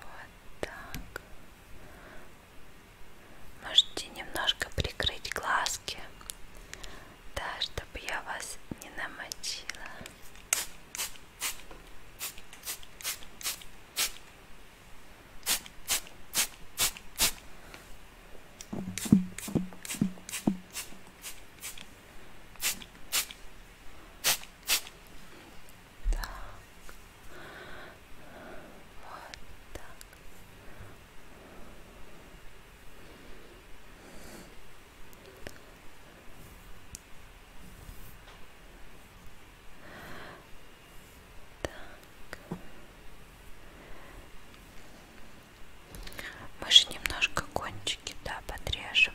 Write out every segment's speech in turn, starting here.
Вот так. Можете немножко прикрыть глазки, да, чтобы я вас не намочила. Так. Вот так. Так. Мы же немножко кончики, да, подрежем.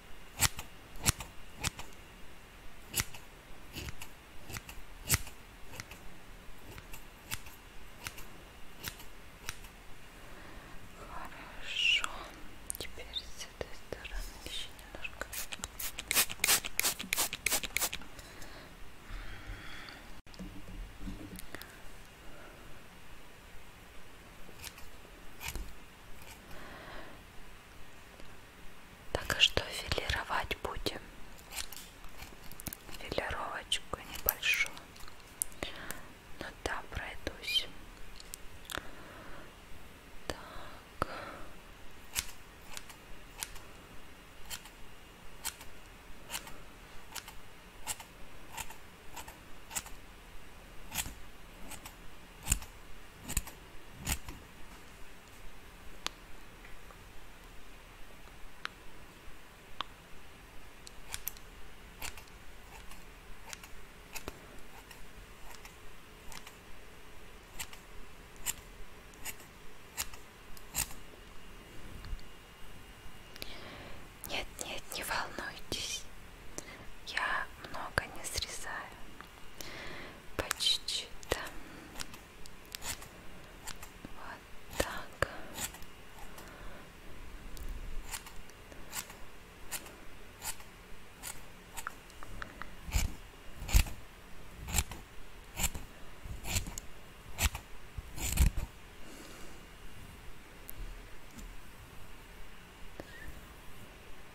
Хорошо, теперь с этой стороны еще немножко. Хорошо. Так а что филировать будем филировочку небольшую. Ну да, пройдусь. Так. Нет, нет, не волнуйтесь, я много не срезаю по чуть-чуть там вот так здесь.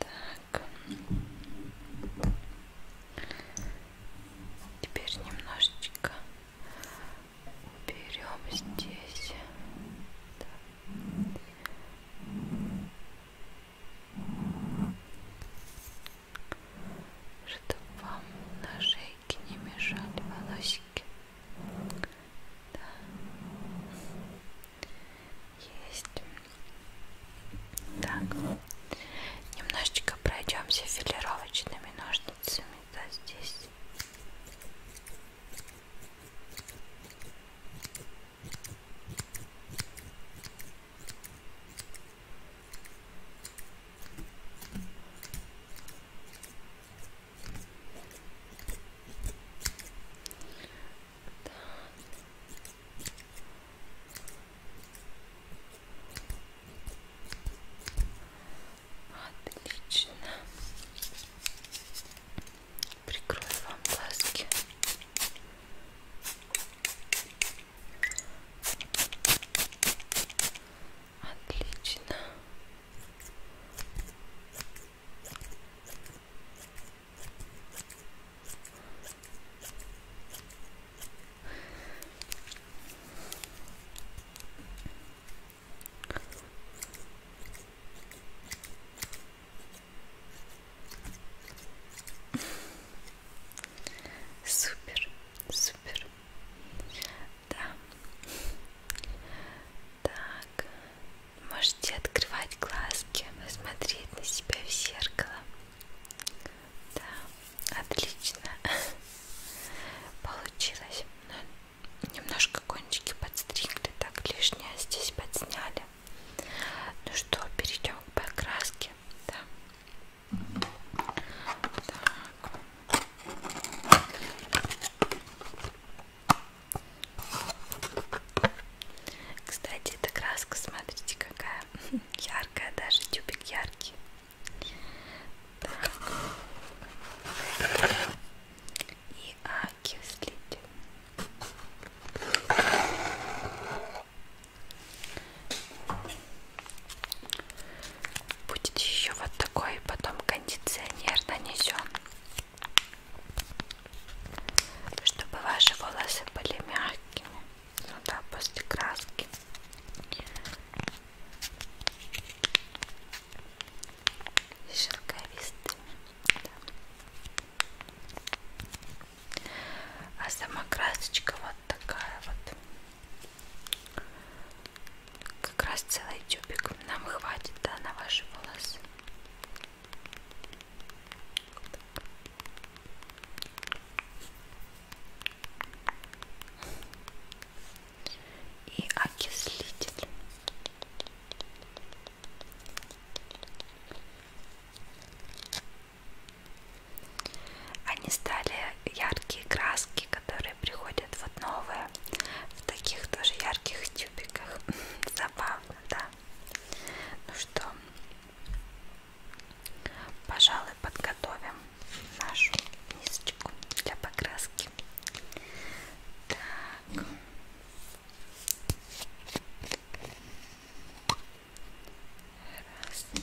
Так. Теперь немножечко уберем здесь. Да чтобы вам на шейке не мешали волосики. Да. Есть. Так, немножечко пройдемся филировочными ножницами, да, здесь. Отлично. Прикрою вам глазки. Отлично. Супер, супер. Да. Так. Можете открывать глазки, смотреть на себя в зеркало. Да, отлично. Получилось. Но ну, немножко кончики подстригли, так лишнее здесь подсняли. Ну что, перейдем к покраске. Да. Так. Кстати, эта краска, смотрите, какая яркая, даже тюбик яркий. Так. И окислитель. Будет еще вот такой, потом кондиционер нанесен, чтобы ваши волосы были мягкими. Ну да, после краски. И шелковистыми. Да. А сама красочка вот такая вот. Как раз целый тюбик нам хватит, да, на ваши волосы. И окислитель. Они стали яркие краски, которые приходят вот новые, в таких тоже ярких тюбиках. Забавно, да? Ну что, пожалуй, подготовим нашу мисочку для покраски. Так. Раз. Два.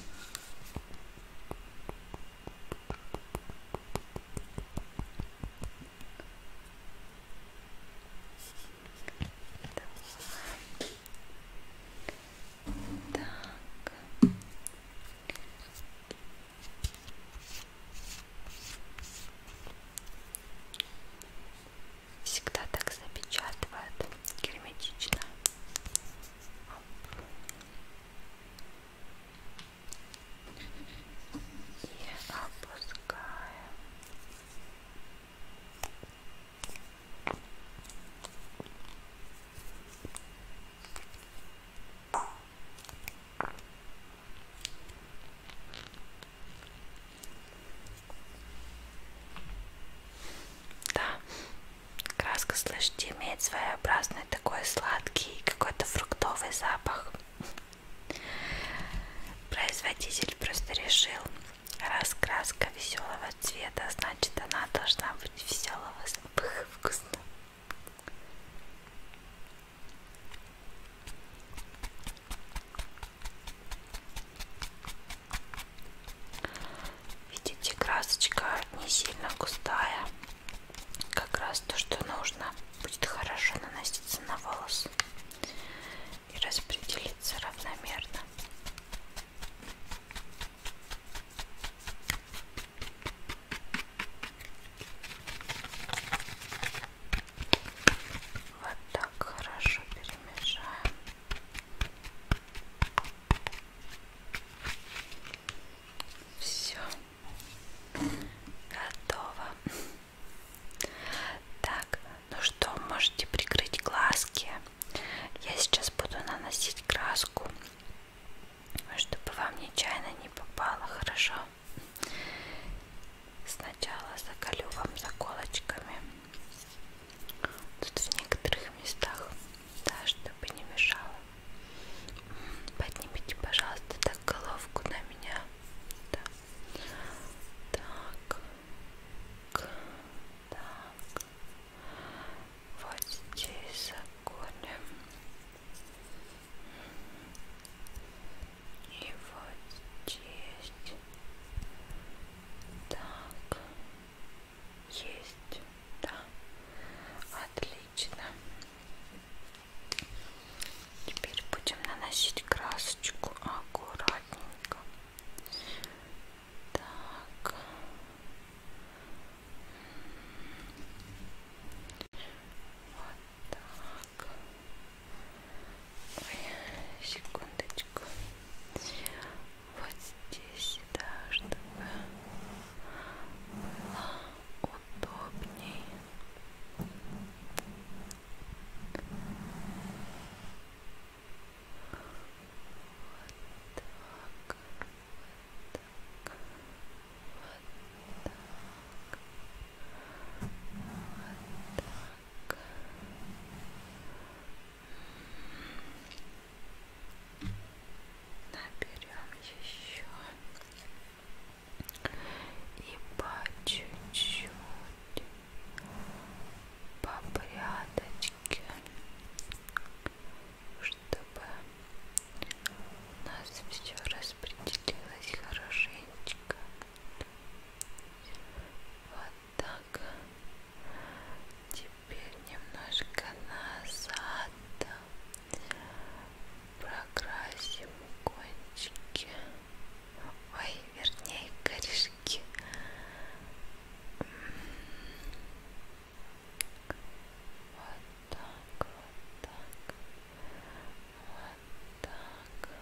Так. Всегда так запечатывают герметично. И опускаем. Да, Краска, слышите, имеет своеобразный такой сладкий какой-то фруктовый запах. Производитель просто решил, раз краска веселого цвета, значит она должна быть веселого запаха вкусно. Видите, красочка не сильно густая. Как раз то, что нужно. Будет хорошо наноситься на волосы и распределиться равномерно. Вот так хорошо перемешаем. Все готово. Так, ну что, можете прикрыть глазки. Я сейчас буду наносить краску, чтобы вам нечаянно не попало, хорошо? Сначала заколю вам заколочками. Тут в некоторых местах, да, чтобы не мешало. Поднимите, пожалуйста, так головку на меня. Да. Так. Так. Вот здесь законим. И вот здесь. Так. Есть, да. Отлично. Теперь будем наносить красочку аккуратненько. Так. Вот так. Ой, секундочку вот здесь, да, чтобы было удобнее. Вот так, вот так, вот так, вот так наберем еще и по чуть-чуть по порядочке, чтобы у нас все распределилось хорошенечко. Вот так. Теперь немножко назад прокрасим кончики. Ой, вернее, корешки. Вот так, вот так, вот так.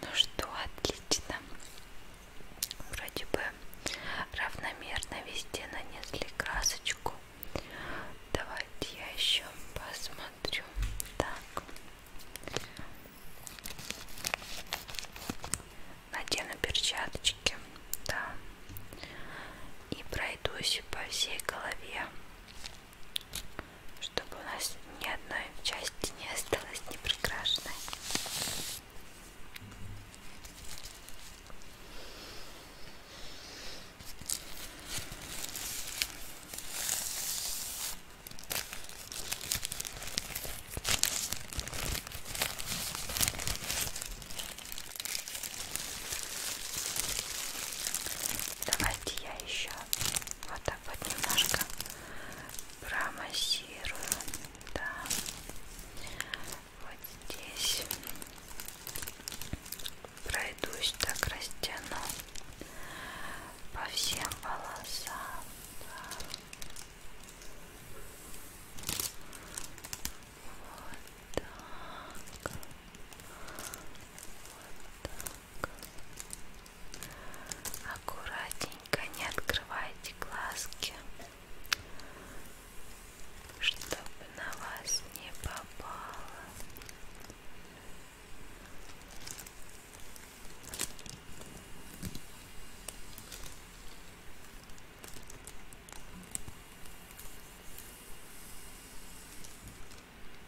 Ну что, отлично. Вроде бы равномерно везде нанесли красочку. Давайте я еще посмотрю. Так. Надену перчаточки, да. И пройдусь по всей голове чтобы у нас ни одной части не осталось непрекрашенной. Давайте я еще вот так вот немножко промассирую, да, вот здесь пройдусь, так растяну по всем волосам. Да. Вот так. Вот так аккуратненько не открывайте глазки чтобы на вас не попало Хорошо.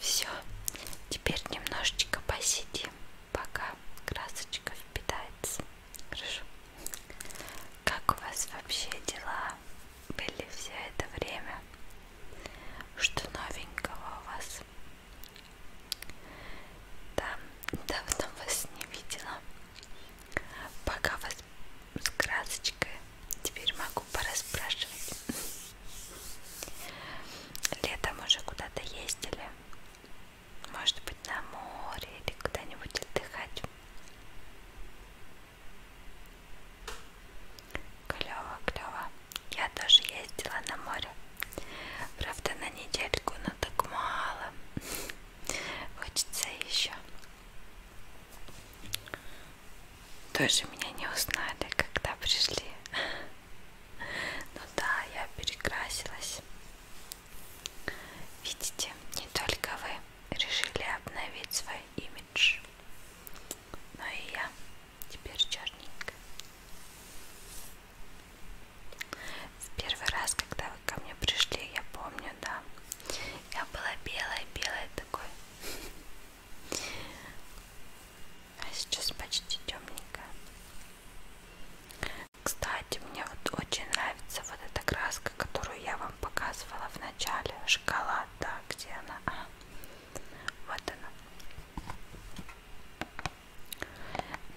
Все, теперь немножечко посидим, пока красочка впитается. Хорошо. Как у вас вообще дела были все это время? Что новенького у вас? Да, давно вас не видела. Пока вас с красочкой. Теперь могу пораспрашивать. Летом уже куда-то ездили. Может быть на море или куда-нибудь отдыхать. Клево, клево. Я тоже ездила на море. Правда на недельку, но так мало. Хочется еще. Тоже меня не узнали, когда пришли. Ну да, я перекрасилась. Видите, не только вы решили обновить свой имидж, но и я теперь черненькая. В первый раз, когда вы ко мне пришли, я помню, да, я была белая-белая такой а сейчас почти темненько. Кстати, мне вот очень нравится вот эта краска, которую я вам показывала в начале. Шоколад, да, где она? А, вот она.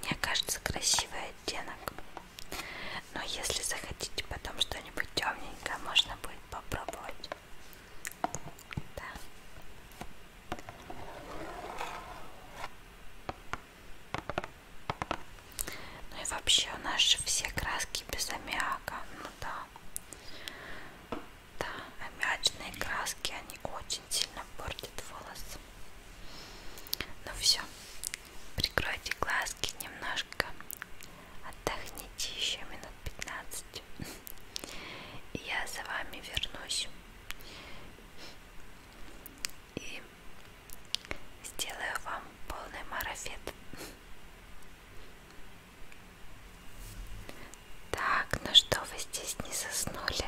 Мне кажется, красивый оттенок. Но если захотите потом что-нибудь темненькое, можно будет попробовать. Да. Ну и вообще у нас же все краски без аммиака. Ну да. Да, аммиачные краски, они очень сильно портят волосы. Ну все, прикройте глазки немножко Отдохните еще минут 15. И я за вами вернусь. И сделаю вам полный марафет. Так, ну что, вы здесь не заснули?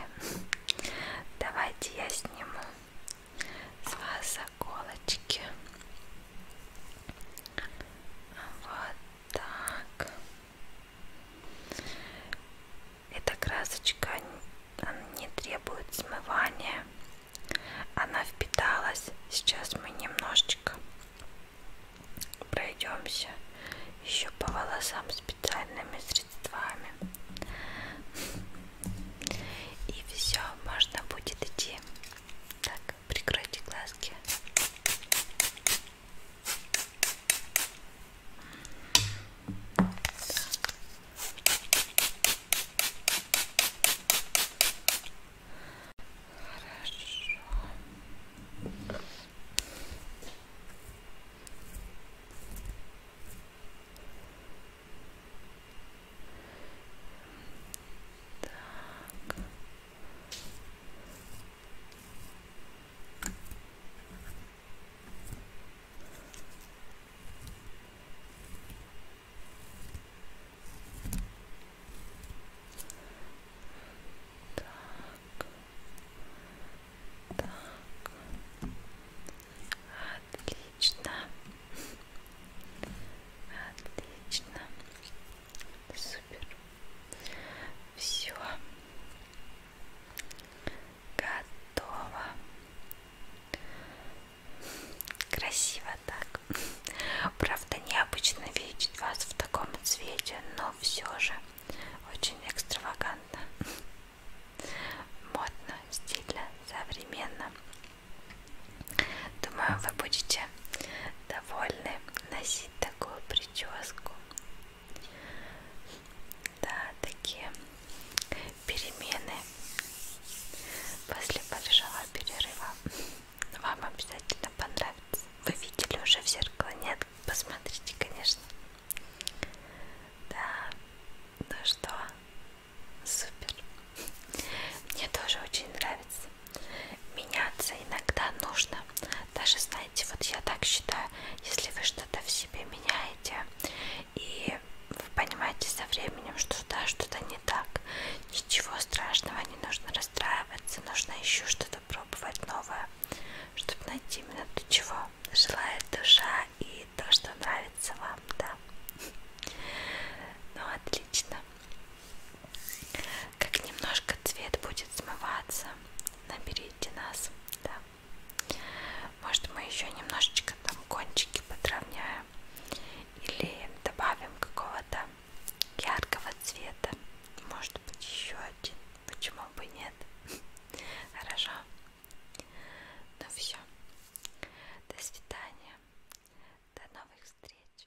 Давайте я сниму с вас заколочки. Вот так. Эта красочка не требует смывания. Она впиталась. Сейчас мы немножечко пройдемся еще по волосам специальными средствами. И все, можно будет идти. Так. Так, прикройте глазки. Так. Хорошо. Так. Так. Так. Отлично. Отлично. Супер. Все. Готово. Красиво так. Правда, необычно видеть вас в таком цвете, но все же очень экстравагантно. Модно, стильно, современно. Думаю, вы будете довольны носить такую прическу. Да, такие перемены после большого перерыва вам обязательно понравится. Вы видели уже в зеркало? Нет? Посмотрите, конечно. Да, ну что, супер. Мне тоже очень нравится. Меняться иногда нужно. Даже, знаете, вот я так считаю, если вы что-то в себе меняете, и вы понимаете со временем, что да, что-то не так, ничего страшного, не нужно расстраиваться, нужно еще что-то пробовать новое, чтобы найти именно то, чего желает душа и то, что нравится вам, да. Ну, отлично как немножко цвет будет смываться, наберите нас, да. Может мы еще немножечко там кончики подровняем или добавим какого-то яркого цвета, может быть еще один, почему бы нет? Хорошо. Ну все. До свидания. До новых встреч.